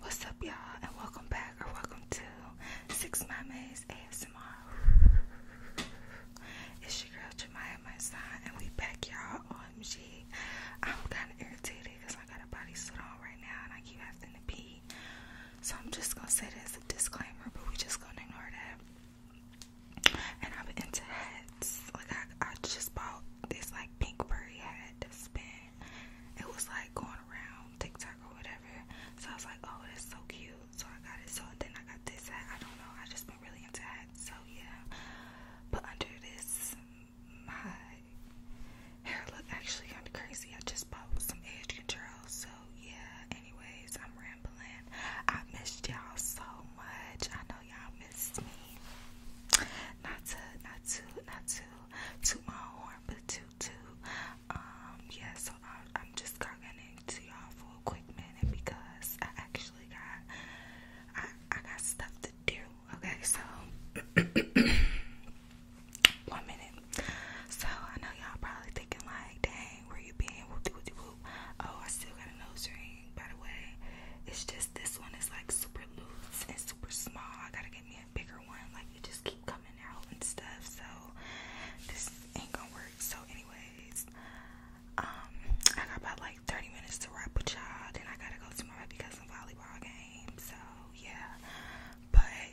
What's up, y'all, and welcome back or welcome to Six Mamas ASMR. It's your girl Jemaya, my son, and we back, y'all. OMG, I'm kind of irritated because I got a body suit on right now and I keep having to pee. So I'm just gonna say that as a disclaimer, but we just gonna ignore it. And I'm into hats. Like I, just bought this like pink furry hat to spin it was like going around TikTok or whatever. So I was like, oh, that's so cute. So I got it. So then I got this hat. I don't know. I just been really into hats. So yeah. But under this, my hair look actually kind of crazy. I just bought some edge control. So yeah. Anyways, I'm rambling. I missed y'all so much. I know y'all missed me. Not to, not to, not to, to my own but two too. Um, yeah, so I'm, I'm just talking to y'all for a quick minute because I actually got I, I got stuff to do. Okay, so one minute. So I know y'all probably thinking like, dang, where you been? Whoop, whoop, whoop. Oh, I still got a nose ring. By the way, it's just this one is like super loose and super small. I gotta get me bigger one. Like it just keep coming out and stuff. So this ain't gonna work. So anyways, um, I got about like 30 minutes to wrap with y'all. Then I gotta go to my baby volleyball game. So yeah, but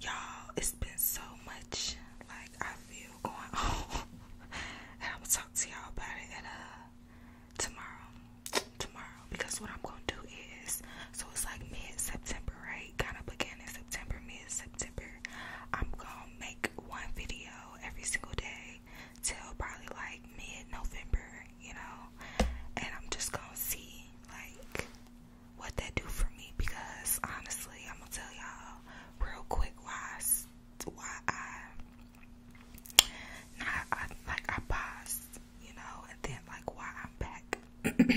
y'all, it's been so much. Like I feel going on, and I'm gonna talk to y'all about it uh, tomorrow tomorrow because what I'm gonna do is so it's like mid September, right? Kind of beginning September, mid September. I'm gonna make one video every single day till probably like mid November, you know, and I'm just gonna see like what that do for me because honestly, I'm gonna tell y'all real quick why why I, I, like I paused you know, and then like why I'm back.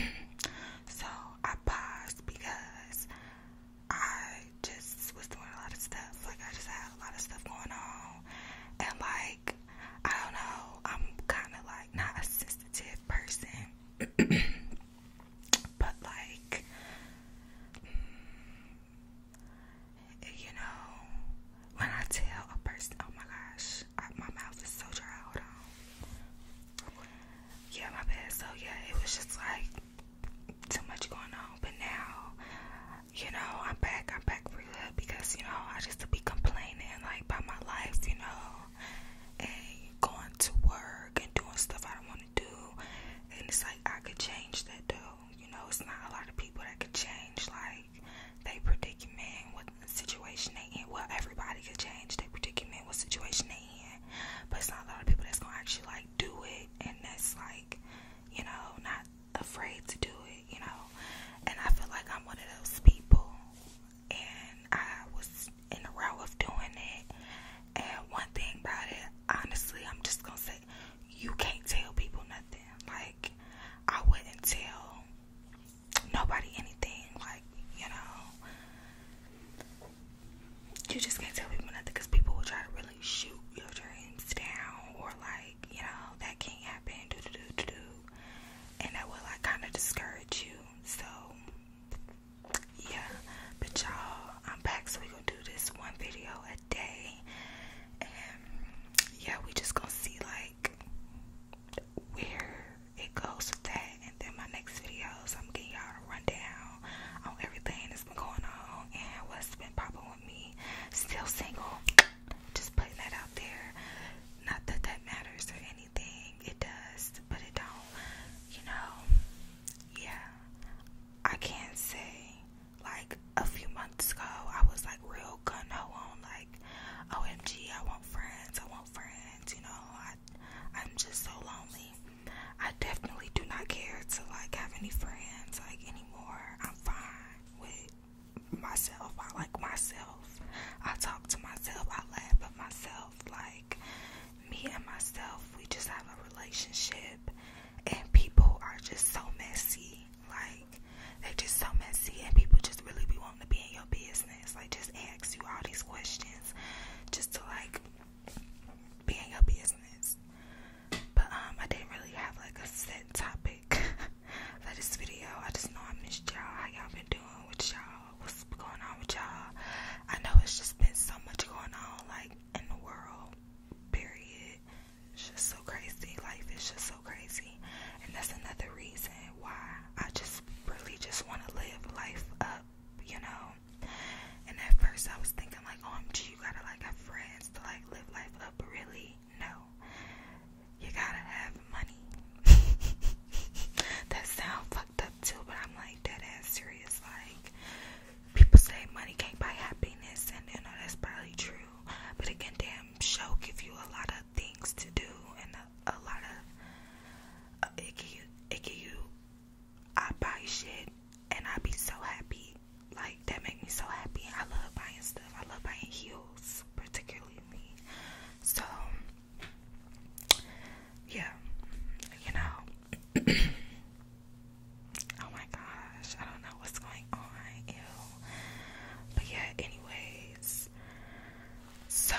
so I paused because I just was doing a lot of stuff. Like I just had a lot of stuff going on, and like I don't know, I'm kind of like not a sensitive person, but like. You know, when I tell a person, oh my gosh, I, my mouth is so dry. Hold on. Yeah, my bad. So yeah, it was just like too much going on. But now, you know, I'm back. I'm back for good because you know I just to be complaining like about my life, you know, and going to work and doing stuff I don't want to do. And it's like I could change that though. You know, it's not a lot of people that could change like change their man what situation they in. Well, everybody can change their predicament, what situation they in. But it's not a lot of people that's gonna actually like do it, and that's like, you know, not afraid to do it, you know. And I feel like I'm one of those people, and I was in the row of doing it. And one thing about it, honestly, I'm just gonna say, you can't tell people nothing. Like, I wouldn't tell nobody anything. Like, you know, you just can't tell people nothing because people will try to really shoot your dreams down or, like, you know, that can't happen, do do do do do. And that will, like, kind of discourage you. So, yeah. But y'all, I'm back, so we gonna do this one video a day. And yeah, we just gonna see, like, where it goes with that. And then my next videos, I'm getting y'all a rundown on everything that's been going on and what's been popping with me. Still single, just putting that out there. Not that that matters or anything, it does, but it don't. You know, yeah. I can't say, like, a few months ago, I was like real gun ho on, like, OMG, I want friends, I want want friends, you know, I I'm just so lonely. I definitely do not care to like have any friends like anymore. I'm fine with myself. I like myself. I talk to myself. I laugh at myself. Like me and myself, we just have a relationship and people are just so messy. Like they're just so messy and people just really be want to be in your business. Like just ask you all these questions just to like be in your business. But um I didn't really have like a set topic for this video. I just know I miss y'all. How y'all been doing with y'all? What's going on with y'all? I know it's just been so much going on like in the world. Period. It's just so crazy. Life is just so crazy. And that's another reason why I just really just want to live life up, you know. And at first I was thinking like, OMG, oh, you gotta like have friends to like live life up, but really, no. You gotta have money. that sound fucked up too, but I'm like dead ass serious. Like people say money can't buy happiness, and you know that's probably true. But again, damn show give you a lot of things to do and a lot of uh, it I buy shit and I be so happy. Like that make me so happy. I love buying stuff. I love buying heels particularly. So yeah, you know. oh my gosh, I don't know what's going on. Ew. But yeah, anyways. So,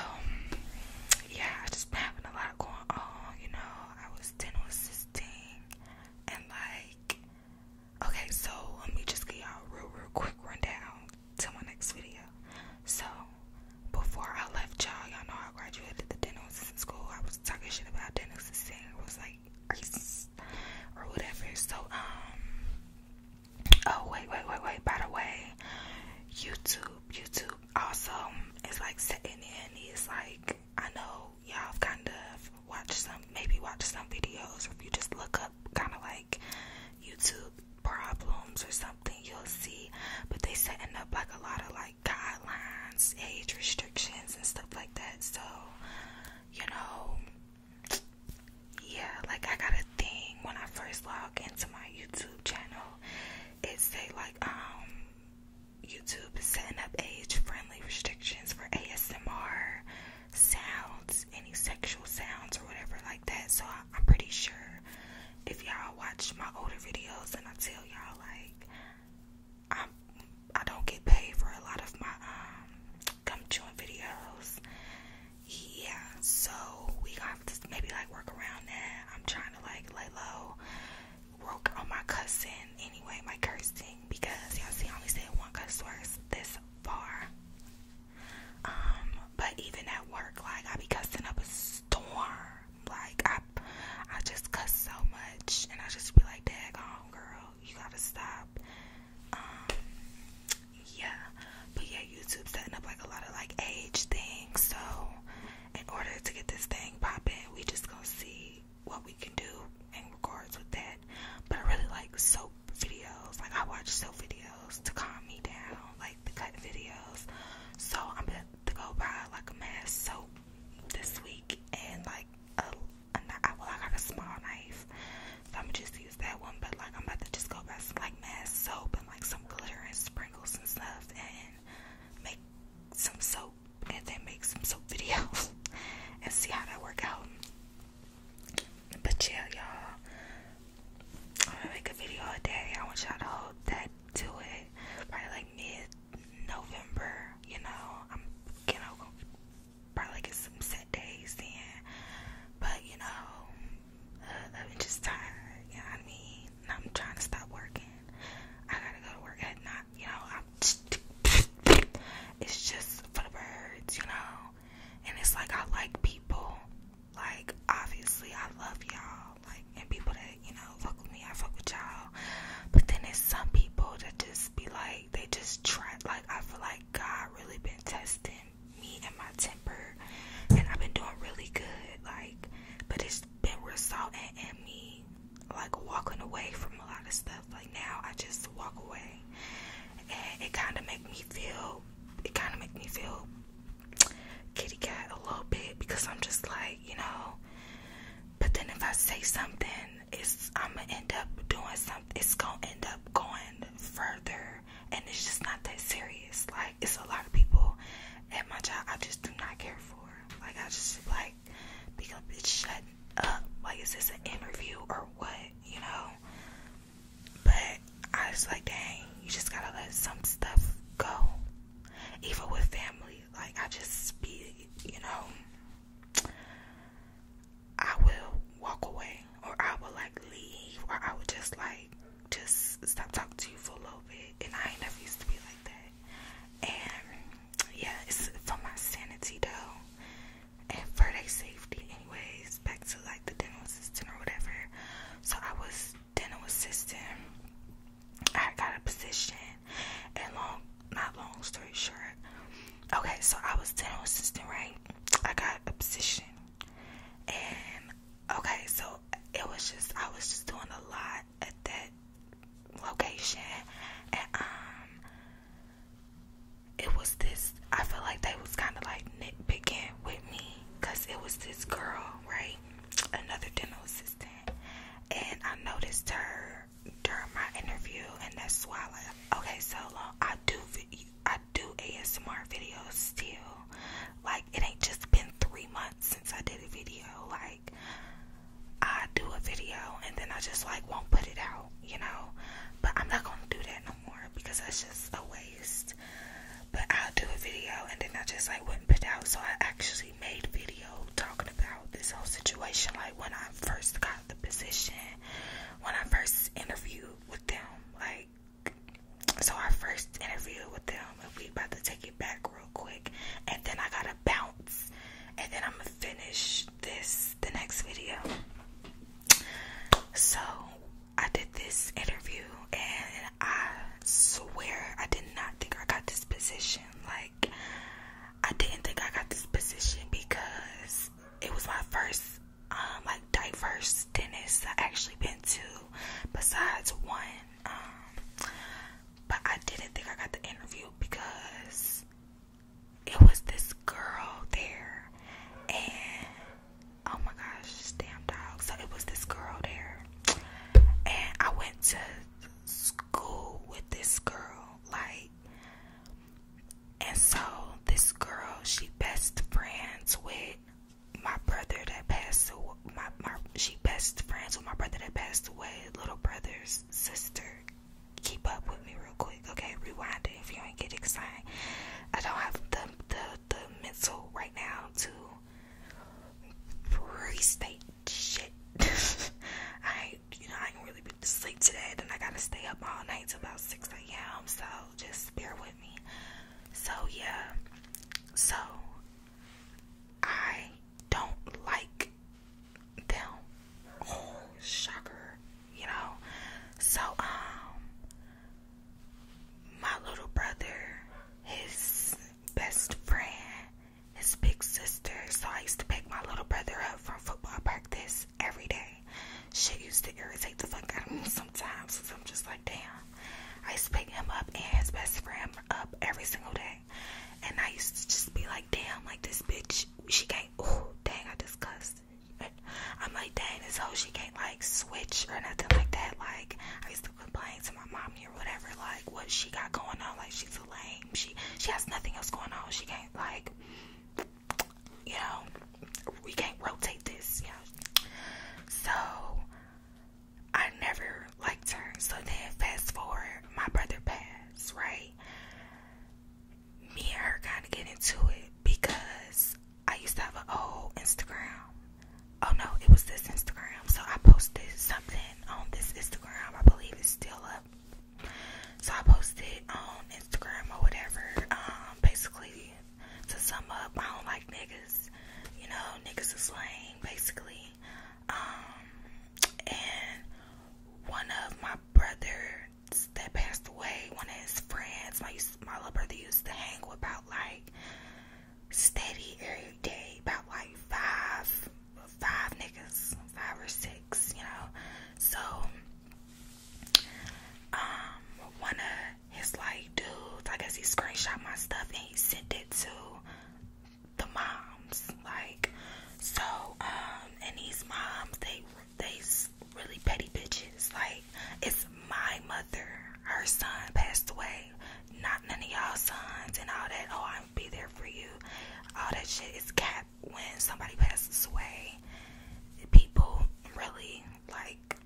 yeah, I just been having a lot of going on, you know. I was dental assisting and like, okay, so let me just give y'all real, real quick rundown to my next video. So, before I left y'all, y'all know I graduated the dental assistant school. I was talking shit about dental assisting. I was like, or whatever. So, um, Oh wait, wait, wait, wait. By the way, YouTube, YouTube also is like sitting in. It's like I know y'all kind of watched some, maybe watch some videos. Or if you just look up, kind of like YouTube problems or something, you'll see. But they setting up like a lot of like guidelines, age restrictions, and stuff like that. So you know, yeah, like I gotta thing when I first log into my YouTube channel. It say like um YouTube is setting up age-friendly restrictions for ASMR sounds, any sexual sounds or whatever like that. So I, am pretty sure if y'all watch my older videos and I tell y'all like I'm I i do not get paid for a lot of my um gum chewing videos yeah, so we got to maybe like work around that. I'm trying to like lay low, work on my cussing anyway, my cursing because y'all see, I only said one cuss words this far. Um, but even at work, like I be cussing up a storm. Like I, I just cuss so much, and I just be like, "Dag girl, you gotta stop." Um, yeah. But yeah, YouTube's setting up like a lot of like age things. So in order to get this thing popping, we just gonna see what we can do in regards with that. But I really like soap videos. Like I watch soap videos to calm me down, like the cut videos. So I'm about to go buy like a mass soap this week and like a, well I got a small knife, so I'm just use that one. But like I'm about to just go buy some like mass soap put like some glitter and sprinkles and stuff and make some soap and then make some soap videos and see how that works out. But yeah, y'all, I'm gonna make a video a day. I want y'all to hold that to it. Probably like mid November, you know. I'm, you know, probably get some set days in. But you know, uh, I'm just tired, you know I mean? I'm trying to stop working. I gotta go to work at night, you know. I'm just, it's just for the birds, you know. And it's like I like people, like obviously I love y'all, like and people that you know fuck with me, I fuck with y'all. But then there's some people that just be like, they just try. Like I feel like God really been testing me and my temper, and I've been doing really good, like but it's been resulting in me like walking away from a lot of stuff. Like now, I just walk away, and it kind of make me feel, it kind of make me feel kitty cat a little bit because I'm just like you know. But then if I say something, it's I'm gonna end up doing something. It's gonna end up going further, and it's just not that serious. Like it's a lot of people at my job I just do not care for. Like I just like become bitch shut up. Like is this an interview or what? You know? But I was like, dang, you just gotta let some stuff go. Even with family, like I just be, you know, I will walk away or I will like leave or I will just like just stop talking to you for a little bit. And I ain't never used to be like that. And yeah, it's for my sanity though, and for their safety. Anyways, back to like the dental assistant or whatever. So I was dental assistant. I got a position, and long, not long story short. Okay, so I was dental assistant, right? I got a position, and Okay, so it was just I was just doing a lot at that location, and um, it was this. I feel like they was kind of like nitpicking with me, cause it was this girl, right? Another dental assistant, and I noticed her during my interview, and that's why. Like, okay, so long I do I do ASMR videos still. Like it ain't just been three months I did a video. Like, I do a video and then I just like won't put it out, you know. But I'm not gonna do that no more because that's just a waste. But I'll do a video and then I just like wouldn't put out. So I actually made a video talking about this whole situation, like when I first got the position, when I first interviewed with them, like so our first interview with them, if we about to take it back real quick, and then I gotta bounce, and then I'm gonna finish this the next video. So I did this interview, and I swear I did not think I got this position. Like I didn't think I got this position because it was my first um like diverse dentist I actually been to, besides one um, but I didn't think I got the interview because it was this girl there, and oh my gosh, damn dog. So it was this girl there, and I went to school with this girl, like, and so this girl, she best friends with my brother that passed my my she best friends with my brother that passed away, little brother's sister. Keep up with me real quick, okay? Rewind it if you don't get excited. I don't have the the the mental right now to restate shit. I you know I ain't really been to sleep today, then I gotta stay up all night till about six a.m. So just bear with me. So yeah, so I don't like them. Oh, shocker, you know. So, um, my little brother, his best friend, his big sister. So, I used to pick my little brother up from football practice every day. Shit used to irritate the fuck out of me sometimes. So I'm just like, damn. I used to pick him up and his best friend up every single day. And I used to just be like, damn, like this bitch, she can't, ooh, dang, I disgust. I'm like, dang, this hoe, she can't like switch or nothing like that. Like, I used to complain to my mom here, whatever, like what she got going on. Like, she's a lame. She, she has nothing else going on. She can't like, you know, we can't rotate this, Yeah, So, I never liked her. So then, fast forward, my brother passed, right? Me and her kind of get into it because I used to have a whole Instagram. Oh no, it was this Instagram. So I posted something on this Instagram. I believe it's still up. So I posted on Instagram or whatever. Um, basically, to sum up, I don't like niggas. You know, niggas is slang, basically. Um, and one of my brothers that passed away, one of his friends, my my little brother used to hang with about like steady every day, about like five five niggas, five or six, you know. So um one of his like dudes, I guess he screenshot my stuff and he sent it to the moms, like so. Um, and these moms, they they really petty bitches. Like it's my mother, her son passed away, not none of y'all sons and all that. Oh, I'll be there for you. All that shit is cap. When somebody passes away, people really like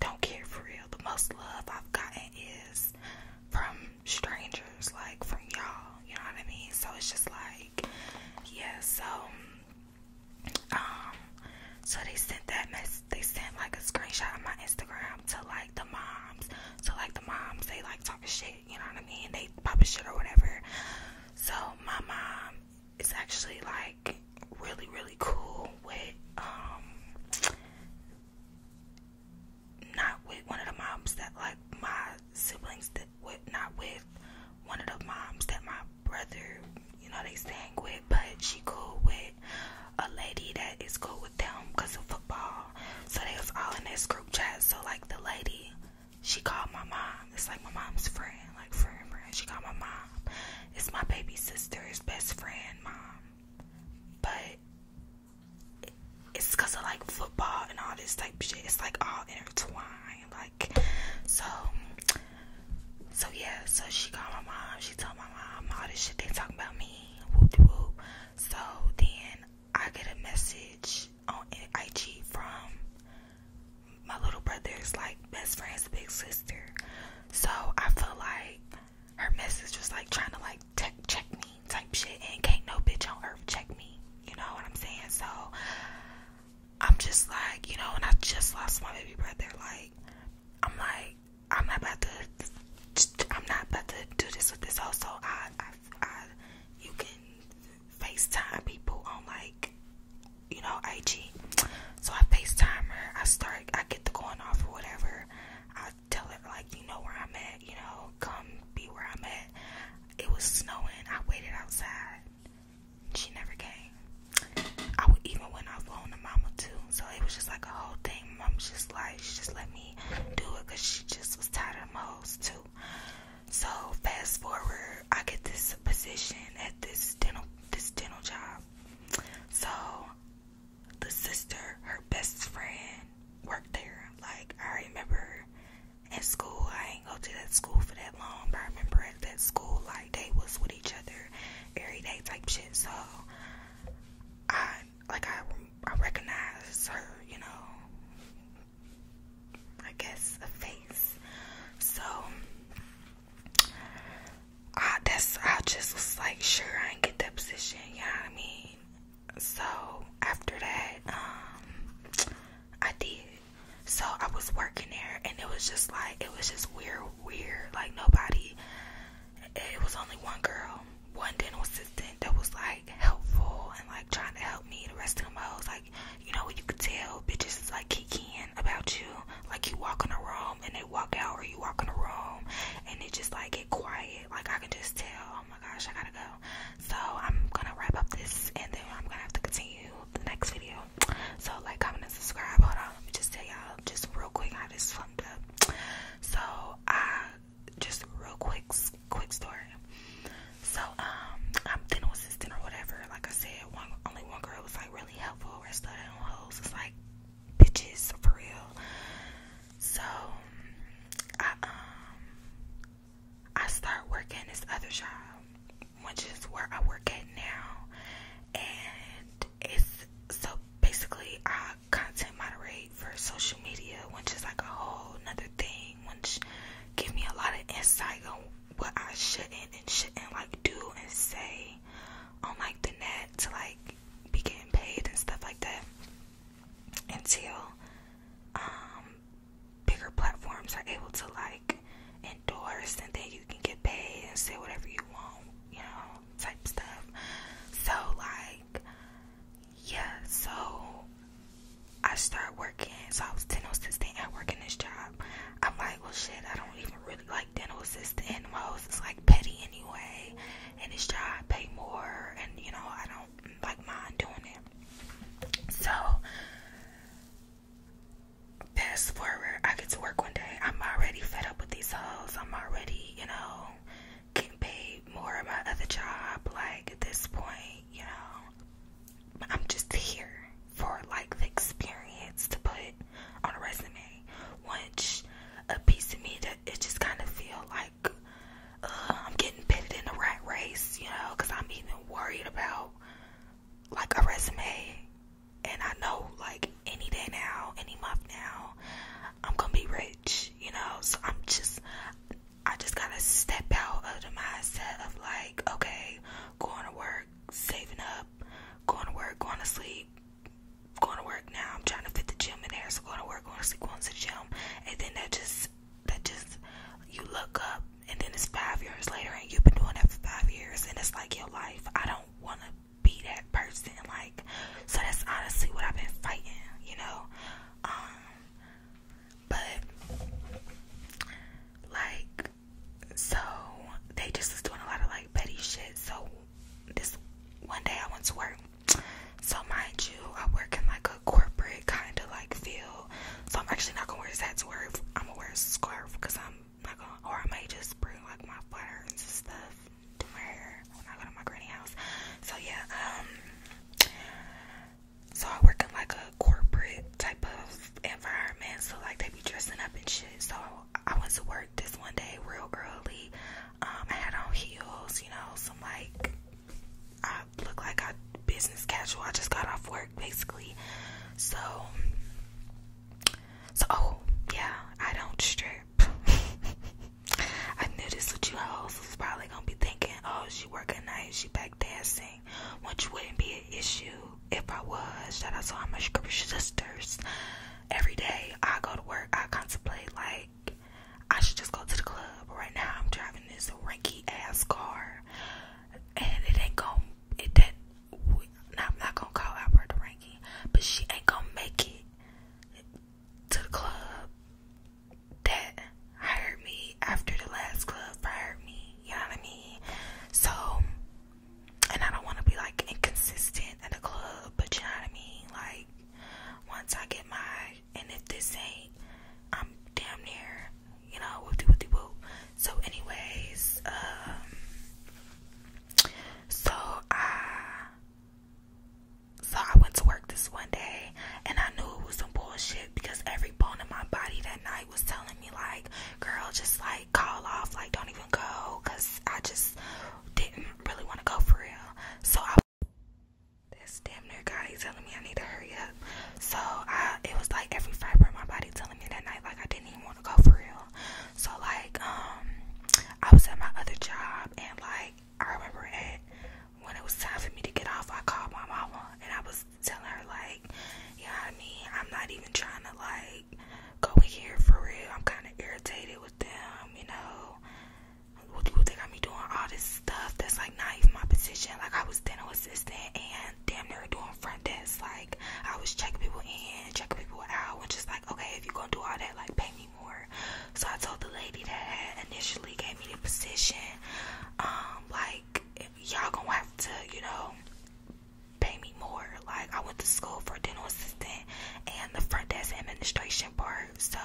don't care for real. The most love I've gotten is from strangers, like from y'all, you know what I mean? So it's just like, yeah, so um so they sent that mess they sent like a screenshot of my Instagram to like the moms. So like the moms they like talking shit, you know what I mean? They popping shit or whatever. So my mom is actually like really, really cool with um not with one of the moms that like my siblings that with not with one of the moms that my brother, you know, they sang with, but she cool with a lady that is cool with them because of football. So they was all in this group chat. So like the lady, she called my mom. It's like my mom's friend, like friend friend. She called my mom. It's my baby sister's best friend mom. But it's because of like football and all this type shit. It's like all intertwined. Like, so, so yeah. So she called my mom. She told my mom all this shit they talking about me. Whoop whoop. So then I get a message on IG from my little brother. brother's like best friend's big sister. So I feel like her message was like trying to like check check me type shit and can't no bitch on earth check me. You know what I'm saying? So I'm just like, you know, and I just lost my baby brother. Like, I'm like, I'm not about to, I'm not about to do this with this also I, I, I you can FaceTime people on like, you know, IG. So I FaceTime her. I start, I get the going off or whatever tell her like you know where I'm at, you know, come be where I'm at. It was snowing. I waited outside. She never came. I even went off on the mama too. So it was just like a whole thing. Mom just like, she just let me do it because she just was tired of hoes too. So fast forward, I get this position at this dental this dental job. So the sister, her best friend, worked there. Like I remember at school, I ain't go to that school for that long, but I remember at that school, like they was with each other every day type shit. So I like I I recognize her, you know. I guess a face. So I that's I just was like sure I ain't get that position, you know what I mean? so after that, um, I did. So I was working there, and it was just like it was just weird, weird. Like nobody. It was only one girl, one dental assistant that was like helpful and like trying to help me. The rest of them hoes, like you know, what, you could tell bitches is like kikiing about you. Like you walk in a room and they walk out, or you walk in a room and they just like get quiet. Like I can just tell oh my gosh, I gotta go. So I'm gonna wrap up this and then I'm gonna have to continue the next video. So like, comment, and subscribe. Hold on, let me just tell y'all just real quick how this fucked up. So I just real quick, quick story. So um, I'm dental assistant or whatever. Like I said, one only one girl was like really helpful. Rest of them hoes was like bitches for real. So I um I start working this other job, which is where I work at now, and it's so basically I content moderate for social media, which is like a whole another thing, which give me a lot of insight on what I shouldn't and shouldn't like do and say on like the net to like be getting paid and stuff like that until um, bigger platforms are able to like endorse and then you can get paid and say whatever you want, you know, type stuff. So like yeah, so I started working. So I was dental assistant at working this job. I'm like, well shit, I don't even really like dental assistant and most it's like petty anyway and this job pay more and you know, I don't don't like mind doing it. So fast forward, I get to work one day. I'm already fed up with these hoes. I'm already, you know, getting paid more at my other job. Like at this point, you know, I'm just here for like the experience to put on a resume. Once a piece of me that it just kind of feel like uh, I'm getting pitted in the rat race, you know, because I'm even worried about like a resume. And I know, like, any day now, any month now, I'm gonna be rich, you know. So I'm just, I just gotta step out of the mindset of like, okay, going to work, saving up, going to work, going to sleep, going to work now. I'm trying to fit the gym in there, so going to work, going to sleep, going to the gym, and then that just that just you look up and then it's five years later and you've been doing that for five years and it's like your life. I don't want to be that person. Like, so that's honestly what I've been fighting, you know? Um, but like, so they just was doing a lot of like petty shit. So this one day I went to work so mind you, I work in like a corporate kind of like feel. So I'm actually not gonna wear this hat to wear. I'm gonna wear a scarf because I'm not gonna, or I may just bring like my flowers and stuff to my hair when I go to my granny house. So yeah, um, so I work in like a corporate type of environment. So like they be dressing up and shit. So I went to work this one day real early. Um, I had on heels, you know, some like I look like I business casual. I just got off work basically. So so oh yeah, I don't strip. I knew this with you hoes was probably gonna be thinking, oh she working night, she back dancing, which wouldn't be an issue if I was. Shout out to all my scripture sisters. Every day I go to work, I contemplate like I should just go to the club. Right now I'm driving this ranky ass car, and it ain't gonna it that. I'm not gonna call out her the ranky, but she ain't gonna make it to the club that hired me after the last club fired me. You know what I mean? So, and I don't want to be like inconsistent at the club, but you know what I mean. Like once I get my and if this ain't, I'm damn near, you know, whoopty whoopty whoop. So, anyways, um, so I, so I went to work this one day, and I knew it was some bullshit because every bone in my body that night was telling me like, girl, just like call off, like don't even go, cause I just didn't really want to go for real. So I this damn near guy he's telling me I need to hurry up. So I it was like every fiber of my body telling me that night like I didn't even want to go for real. So like um I was at my other job and like I remember at when it was time for me to get off I called my mama and I was telling her like, Yeah, I mean, I'm not even trying to like go in here for real. I'm kinda irritated with them, you know. What do you think i doing all this stuff that's like..." like not even my position. Like I was dental assistant and damn near doing front desk. Like I was checking people in, checking people out, and just like, okay, if you're gonna do all that, like pay me more. So I told the lady that had initially gave me the position, um, like y'all gonna have to, you know, pay me more. Like I went to school for dental assistant and the front desk administration part, so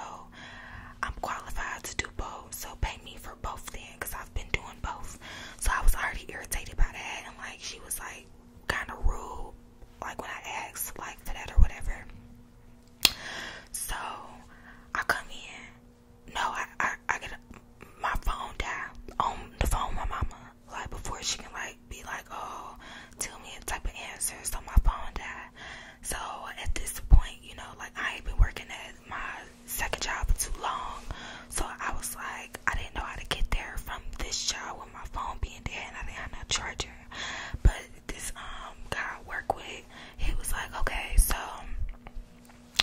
I'm qualified to do both. So pay me for both then because I've been doing both. So I was already irritated by that and like she was like kind of rude like when I asked like for that or whatever. So I come in. No, I I, I get a, my phone die on the phone with my mama like before she can like be like oh tell me a type of answer so my phone died. So at this point you know like I ain't been working at my second job too long. So I was like, I didn't know how to get there from this job with my phone being dead and I didn't have no charger. But this um guy I work with, he was like, okay, so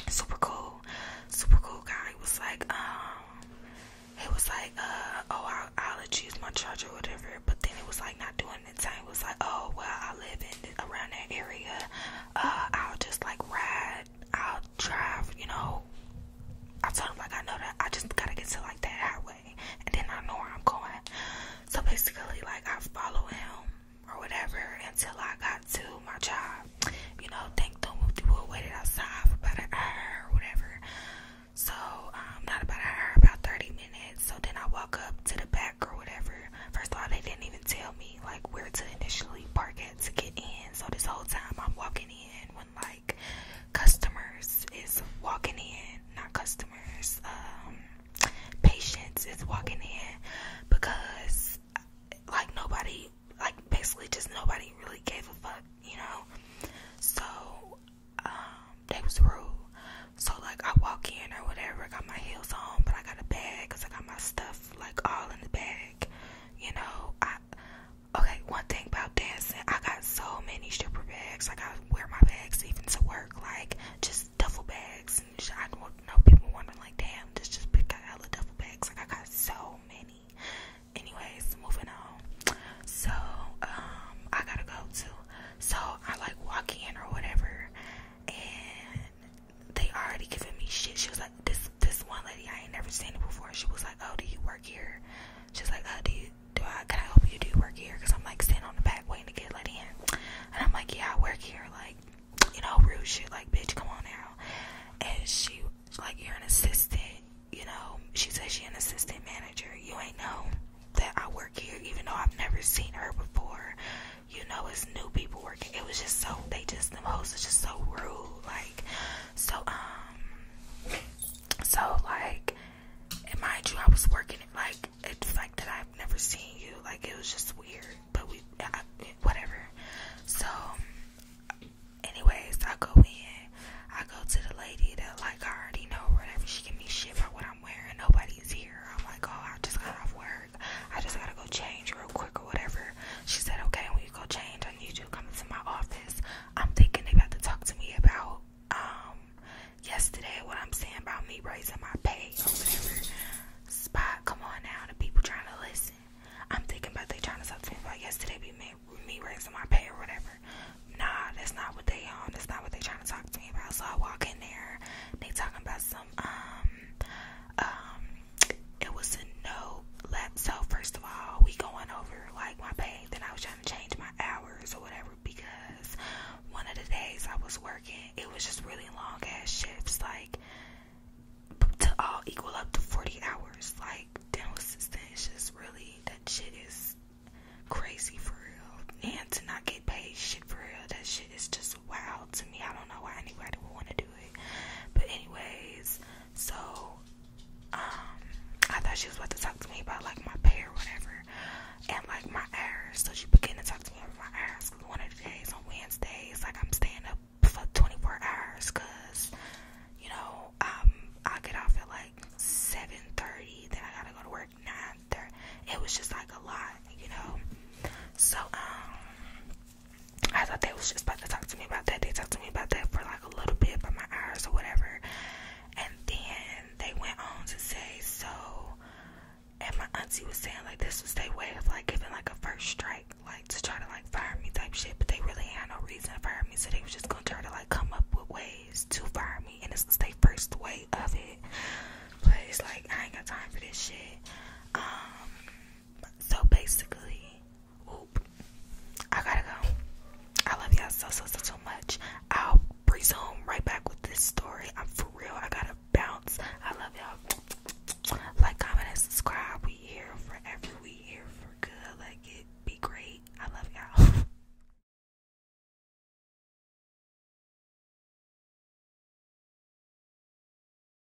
super cool, super cool guy. He was like, um, he was like, uh, oh, I'll, I'll let you use my charger or whatever. But then it was like not doing the time. It was like, oh, well, I live in around that area, uh, I'll just like ride, I'll drive, you know. I told him like I know that I just gotta get to like that highway and then I know where I'm going. So basically like I follow him or whatever until I got to my job. You know, thank the people waited outside for about an hour or whatever. So um, not about an hour, about thirty minutes. So then I walk up to the back or whatever First of all, they didn't even tell me like where to initially park at to get in. So this whole time I'm walking in when like customers is walking in, not customers, um, patients is walking in because like nobody, like basically just nobody really gave a fuck, you know. So um, they was rude. So like I walk in or whatever, got my heels on, but I got a bag because I got my stuff like all in the bag. You know, I okay, one thing about dancing, I got so many stripper bags. Like I wear my bags even to work, like just duffel bags. And just, I don't know people wondering like, damn, this just got hella duffel bags. Like I got so many. Anyways, moving on. So um, I gotta go too. So I like walk in or whatever, and they already giving me shit. She was like, this this one lady I ain't never seen it before. She was like, oh, do you work here? She was like, oh, do you do I can I help you? Do you work here? Cause I'm like standing on the back waiting to get let in, and I'm like, yeah, I work here. Like, you know, rude shit. Like, bitch, come on now. And she was like, you're an assistant. You know, she said she an assistant manager. You ain't know that I work here, even though I've never seen her before you know it's new people working it was just so they just them hosts is just so rude like so um so like and mind you I was working like it's fact that I've never seen you like it was just weird but we I, whatever so anyways I go in I go to the lady that like I already know or whatever she give me shit for what I'm wearing nobody's here I'm like oh I just got off work work. I just gotta go change real quick or whatever. She said, Okay, when you go change, I need you to come into my office. I'm thinking they about to talk to me about um yesterday what I'm saying about me raising my pay or whatever. Spot, come on now, the people trying to listen. I'm thinking about they trying to talk to me about yesterday be me, me raising my pay or whatever. Nah, that's not what they on. Um, that's not what they trying to talk to me about. So I walk in there. They talking about some um um it was a no lap. So first of all, we going over like my pay. Then I was trying to change my hours or whatever because one of the days I was working, it was just really long ass shifts, like to all equal up to forty hours. Like dental assistant is just really that shit is crazy for real. And to not get paid shit for real, that shit is just wild to me. I don't know why anybody would want to do do it. But anyways, so um I thought she was about to talk to me about like my pay or whatever and like my hours. So she began to talk to me about my hours because one of the days on Wednesdays, like I'm staying up for 24 hours because you know, um I get off at like 7:30, then I gotta go to work 9:30. It was just like a lot, you know. So um I thought they was just about to talk to me about that. They talked to me about that for like a little bit about my hours or whatever. And then they went on to say, so, and my auntie was saying like this was their way of like giving like a first strike, like to try to like fire me type shit. But they really had no reason to fire me, so they was just gonna try to like come up with ways to fire me. And this was their first way of it. But it's like I ain't got time for this shit. Um, so basically, oop, I gotta go. I love y'all so so so so much. I'll resume right back with this story. I'm for real. I gotta bounce. I love y'all. Like, comment, and subscribe. We here forever. We here for good. Like it be great. I love y'all.